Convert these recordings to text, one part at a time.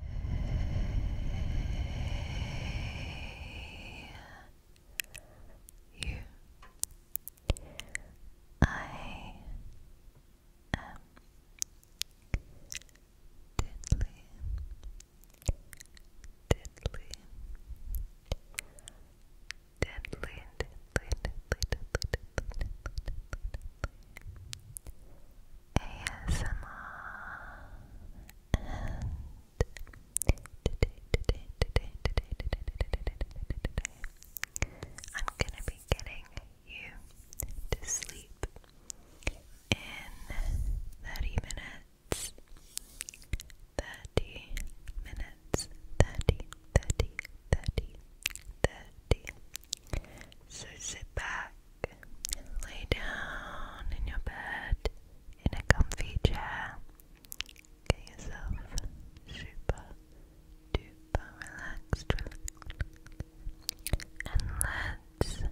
Hey, you. I am deadly, deadly, deadly, deadly, deadly, deadly, deadly, deadly, deadly, ASMR I'm gonna be getting you to sleep in 30 minutes. 30 minutes, 30, 30, 30, 30, so sit back, lay down in your bed in a comfy chair. Get yourself super duper relaxed, and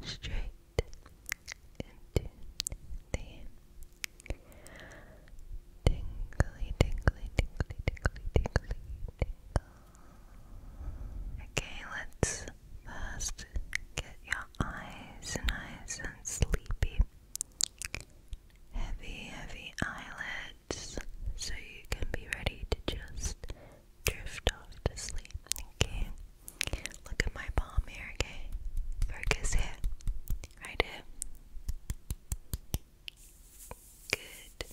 let's get straight into the tingly, tingly, tingly, tingly, tingly, tingly. Okay, let's first get your eyes nice and sleepy. Heavy, heavy eyelids so you can be ready to just drift off to sleep. Okay, look at my palm here, okay? Focus here, right here. Good.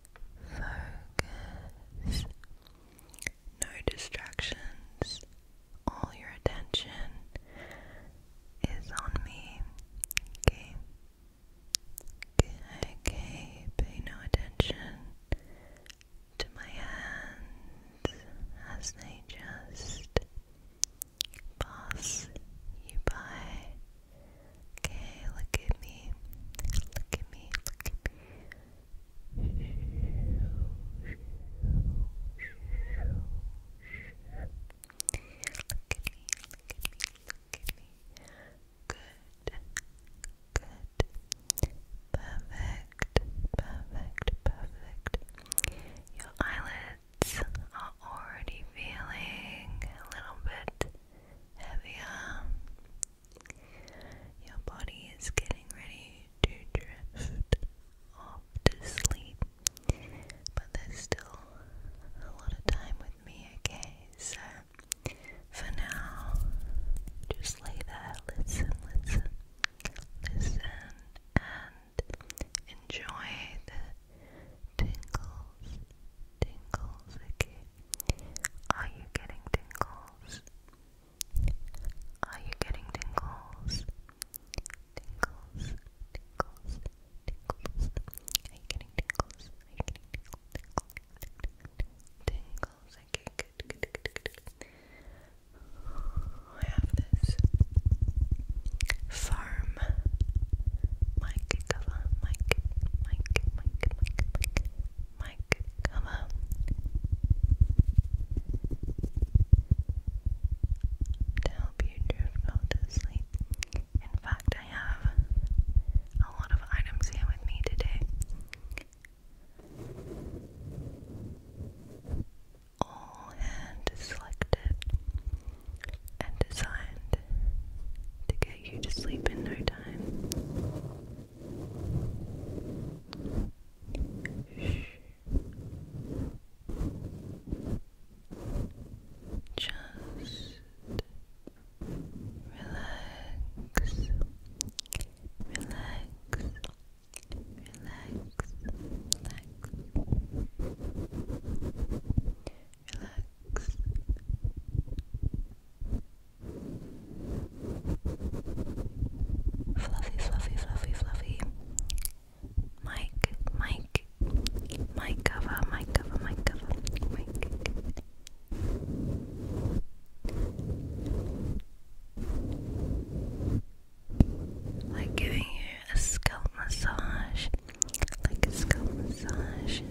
Focus. No distractions. All your attention is on me. Okay. Okay, pay no attention to my hands as they just pass you by. Okay, look at me. Look at me. Look at me. Look at me. Look at me. Look at me. Good. Good. Perfect. Perfect. Perfect. Your eyelids are already feeling a little bit heavier. Your body is getting ready to drift off to sleep, but there's still a lot of time with me, okay? So for now, just lay there, listen, listen, listen, and enjoy the tingles tingles again. Are you getting tingles? Are you getting tingles? Tingles, tingles, tingles. Are you getting tingles? Are you getting tingles? Tingles, Okay, I have this farm mic cover, mic, mic, mic, mic, mic, mic cover. To help you drift off to sleep. In fact, I have a lot of items here with me today. All hand selected and designed to get you to sleep in no time. Just relax, relax, relax, relax. Relax, Fluffy, fluffy, fluffy, fluffy. Mike, Mike, Mike cover, Mike cover, Mike cover, Mike. Like giving you a scalp massage, like a scalp massage.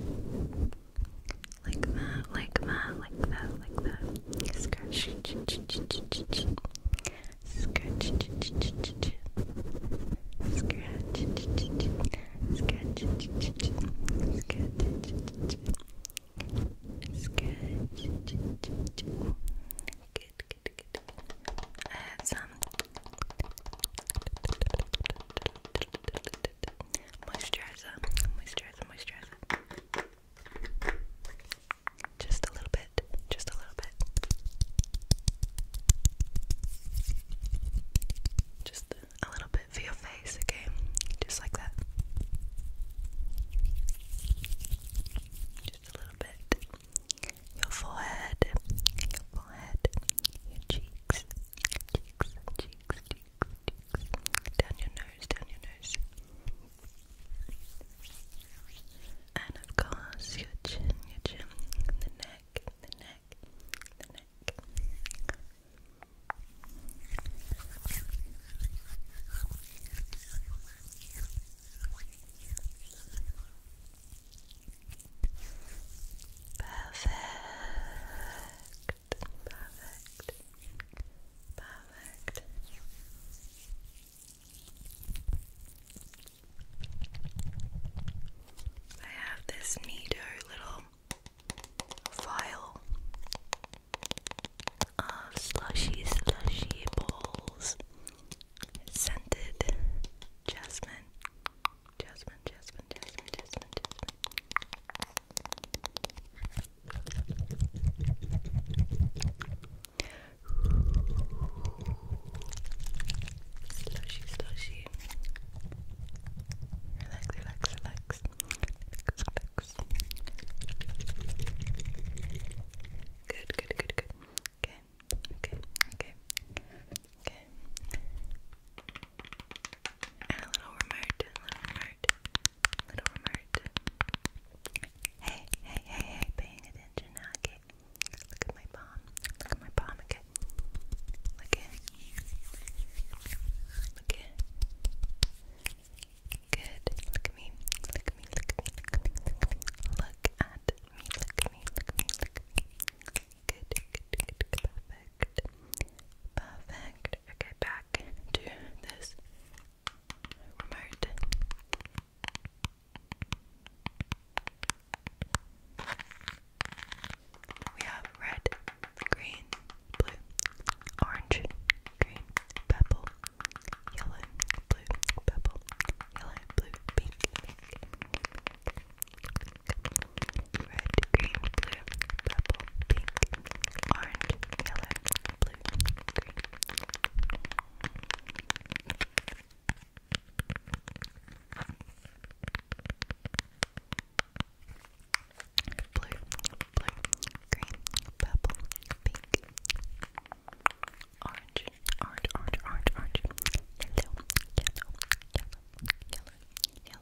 Like that, like that, like that, like that. Scratch, scratch, scratch, scratch, Good, good. I had some moisturizer, moisturizer, moisturizer. Just a little bit, just a little bit. Just a little bit for your face, okay? Just like that. Just a little bit. Your forehead, your forehead, your cheeks, cheeks, cheeks, down your nose, down your nose, and of course your chin, your chin, the neck, the neck, the neck. Perfect perfect, perfect. I have this neato little vial of slushy, slushy balls, scented jasmine. Jasmine, Jasmine, Jasmine, Jasmine, Jasmine. Slushy, slushy. Relax, relax, relax. Relax, relax. Good, good, good, good. Okay, okay, okay, okay. And a little remote, little remote, little remote. Hey, hey, hey, hey, paying attention now, okay? Look at my palm. Look at my palm, Look at Look at Look at me. Look at me. Look at me. Look at me. Look at me. Look at me. Look at me. Look at me. Look at me. Good, good, perfect. Perfect. Okay, back to this We have red, green, blue, orange, green, purple, yellow, blue, purple, yellow, blue, pink. Red, green, blue, purple, pink, orange, yellow, blue, green. Blue, blue, green, purple, pink, orange, orange, orange, orange, orange, yellow, yellow, yellow, yellow, yellow,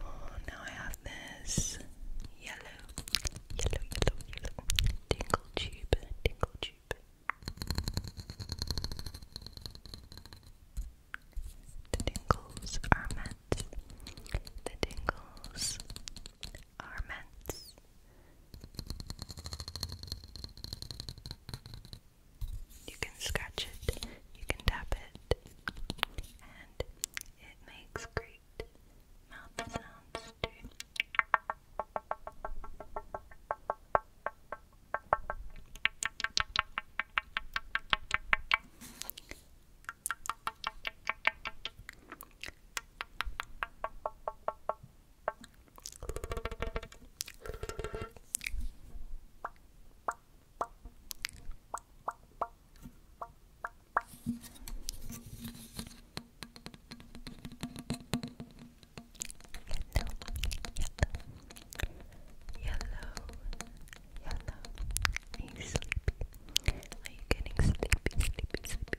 Oh, now I have this yellow, yellow, yellow, yellow tingle tube, tingle tube. The tingles are meant. The tingles are meant. You can scratch it, you can tap it, and it makes great mouth sounds are you sleepy? Are you getting sleepy? Sleepy, sleepy. Are you getting sleepy? Good, good.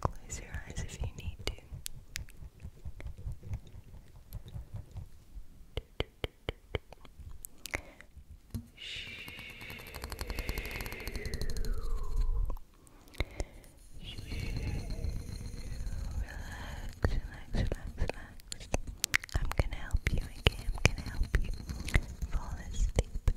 Close your eyes if you need to. Relax, relax, relax, relax. I'm gonna help you, okay? I'm gonna help you fall asleep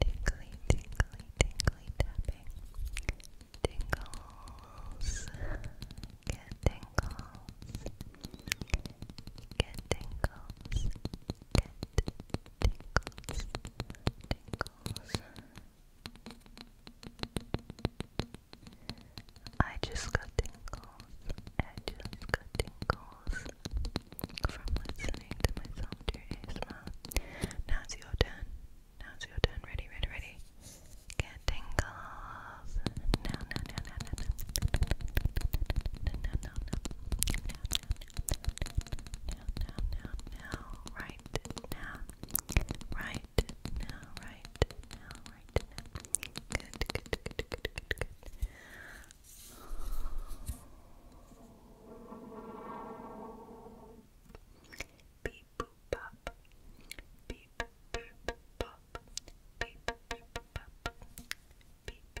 Tinkly, tinkly, tinkly tapping. Tingles. Get tingles. Get tingles. Get tingles, tingles. I just got tingles. I just got tingles from listening to myself do ASMR. Now it's your turn. Now it's your turn. Ready, ready, ready. Get tingles. No, no, no, no, no, no, no, no, no, now, now, now, right now, right now, right now, right now. Good, good, good, good, good, good. Beep boop pop. Beep boop pop. Beep boop pop. Beep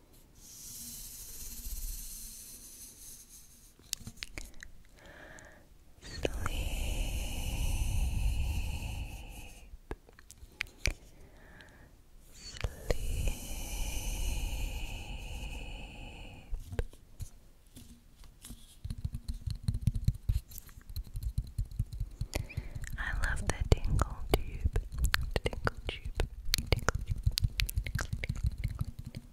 I love the tingle tube tinkle tube, tinkle tinkle, tinkle, tinkle, tinkle.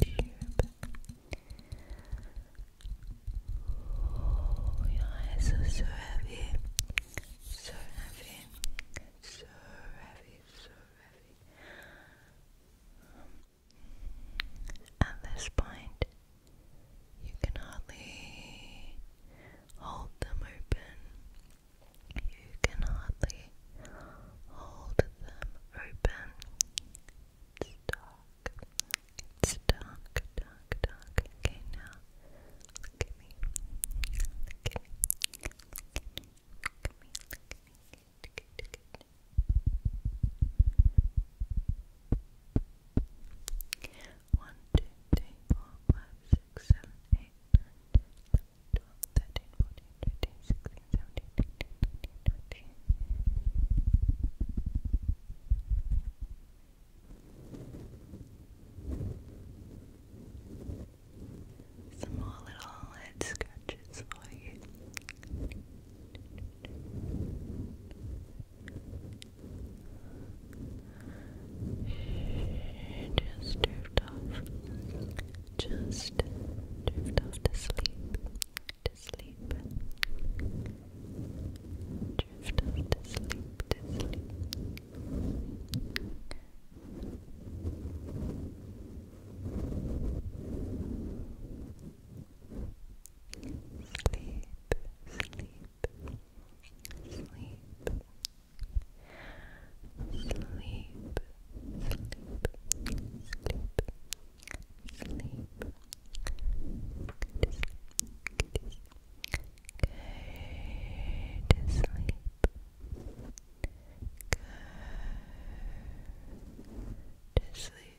Tinkle tube. Oh, your eyes are so heavy, so heavy, so heavy, so heavy. At this point, you can hardly hold them open. You can hardly hold them open. It's dark. It's dark, dark, dark. Okay, now look me. Look me. Look me. Look me. One, two, three, four, five, six, seven, eight, nine, ten, eleven, twelve, thirteen, fourteen, fifteen, sixteen, seventeen, eighteen, nineteen, twenty. Some more little head scratches messages for Just drift off. Just drift off to sleep. To sleep. Drift off to sleep. to sleep, sleep, sleep, sleep, sleep, sleep, sleep, sleep. Good to sleep. Good to sleep.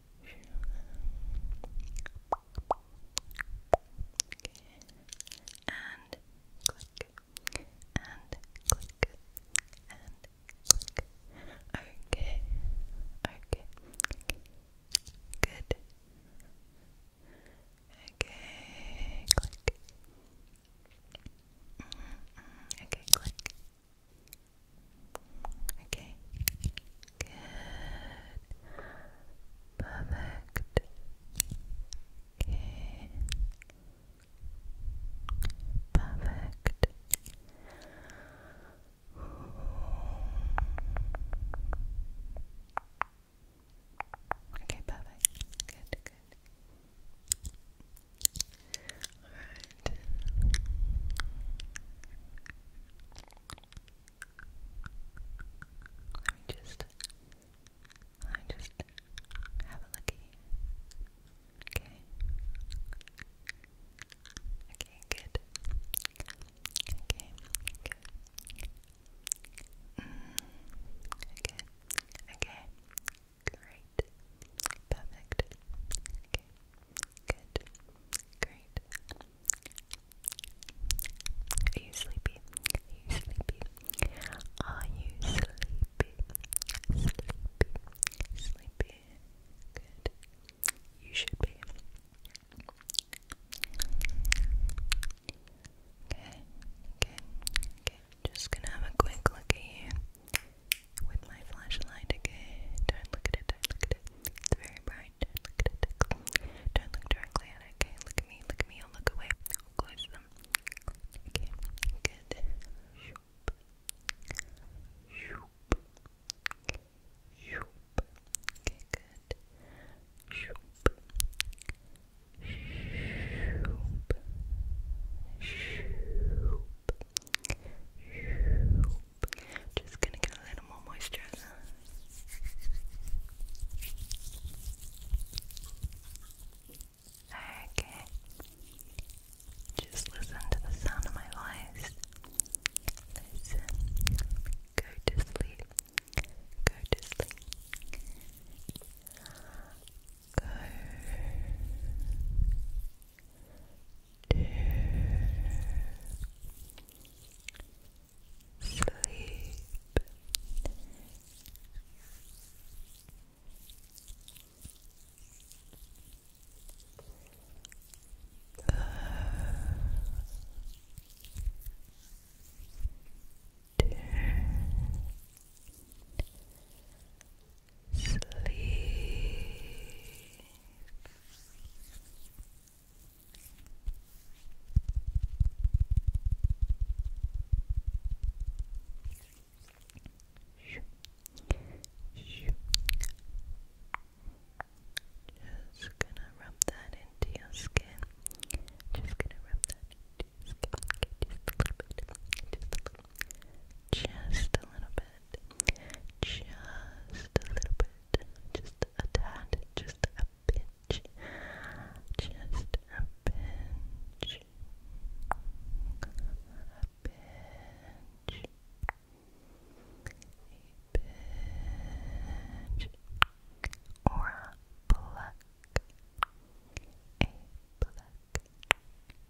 and click, and click, and click. Okay, okay, good. Okay, click. Mm -hmm. Okay, click. Okay. Good. Perfect. Okay. Perfect. Okay, perfect. Good, good. Alright. Let just let just have a looky. Okay. Okay, good. Okay, good. Mm, okay, okay, great, perfect. Okay, Good. Great. Are you sleepy? Are you sleepy? Are you sleepy? Sleepy. Sleepy. Good. You should be. Okay, okay, okay. Just gonna have a quick look at you with my flashlight again. Don't look at it, don't look at it. It's very bright. Don't look at it. Don't look directly at it, okay? Look at me, look at me, or look away. I'll close them. Okay, good. Shoop. Shoop. Shoop. Okay, good. Shoop. Shoop. Shoop. Just gonna get a little more moisturizer. Okay. Just listen to the sound of my voice. Listen. Go to sleep. Go to sleep. Go to sleep. Go to Sleep. Just gonna rub that into your skin. Just gonna rub that into your skin. Just a little bit. Just a little bit. Just a tad. Just a pinch. Just a pinch. A pinch. A pinch. Or a pluck. A pluck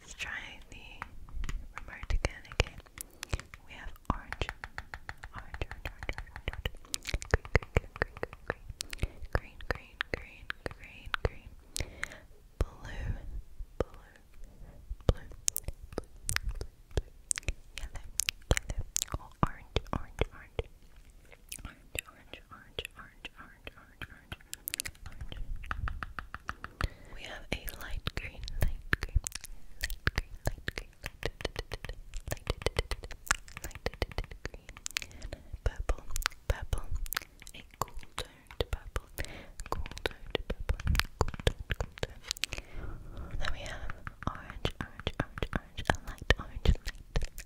Let's try the remote again. Okay, we have orange, orange, orange, orange, orange, orange. green, green, green, green, green, green, green, green, blue, blue, blue, blue, blue, yellow, yellow, oh, orange, orange, orange, orange, orange, orange, orange, orange, orange, orange, orange. We have a light green, light green, light green, light green, light, light, light, light green, purple, purple, a cool tone to purple, cool tone to purple, cool tone, cool tone. Then we have orange, orange, orange, orange, a light orange, light,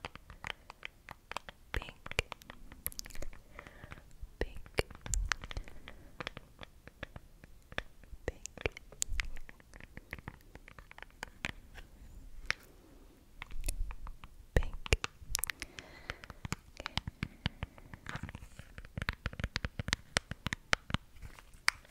pink, pink, pink. Pink. Okay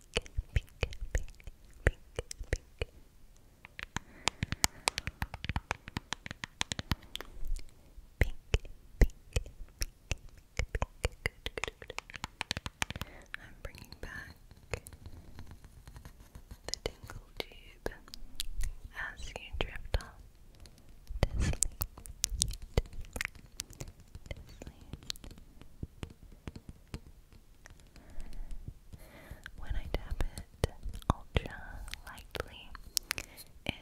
pink, pink, pink, pink. Pink, pink, pink, pink, good, good, good. I'm bringing back the tingle tube as you drift off to sleep, when I tap it ultra lightly, it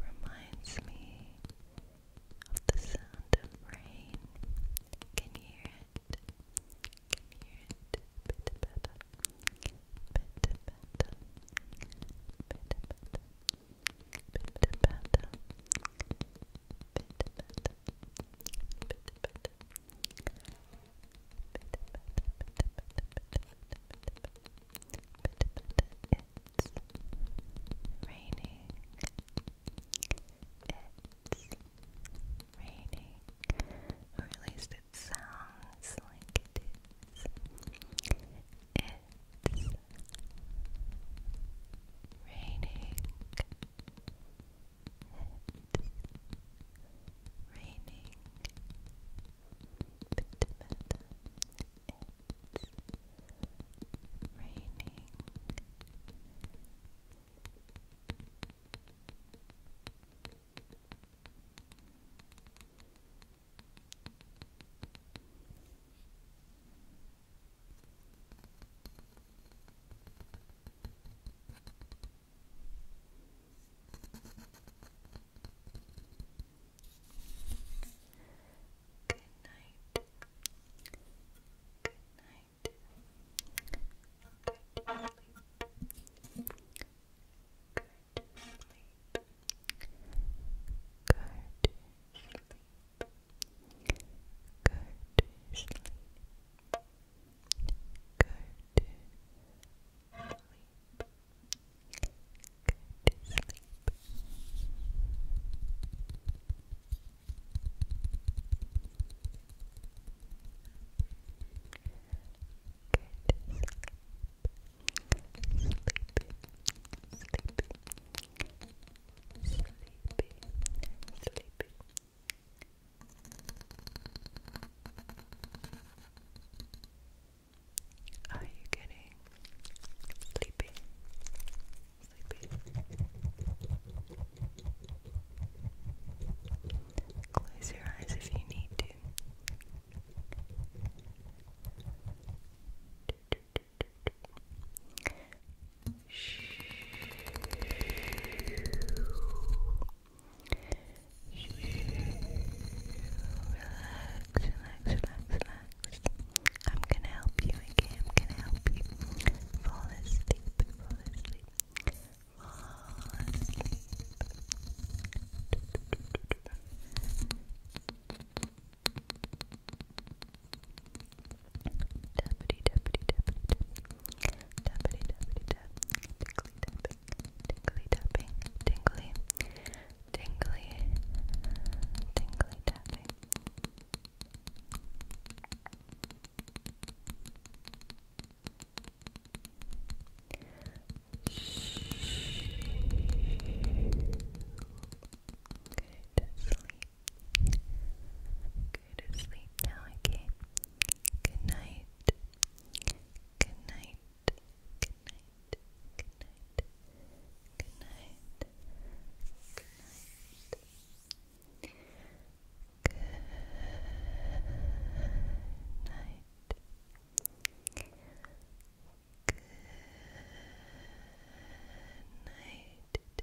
reminds me of the sound of rain. Can you hear it? Can you hear it? It's raining. It's raining. Or at least it sounds like it is. It's raining raining Pitta Metta. It's raining. It's raining. Good night. Good night. Good sleep. Good sleep. Good sleep. Go to sleep. Go to sleep. Go to sleep. Good. Sleepy, sleepy, sleepy, sleepy, sleepy. Are you getting sleepy? Sleepy. Close your eyes if you need to relax, relax. I'm gonna help you again. I'm gonna help you fall asleep, fall asleep, fall asleep. Deputy, deputy, deputy, deputy, deputy, deputy, tingly tapping, tingly tapping, tingly, tingly, tingly tapping. Shh. Go sleep. Go sleep now, okay? Good Good night. Good night. Good night. Good night. Good night. Good night,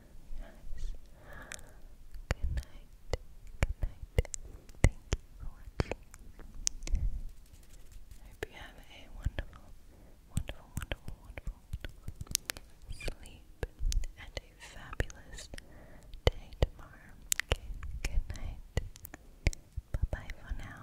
Yes. Good night. Good night. Thank you hope you have a wonderful, wonderful, wonderful, wonderful, wonderful sleep and a fabulous day tomorrow. Good night. Bye bye for now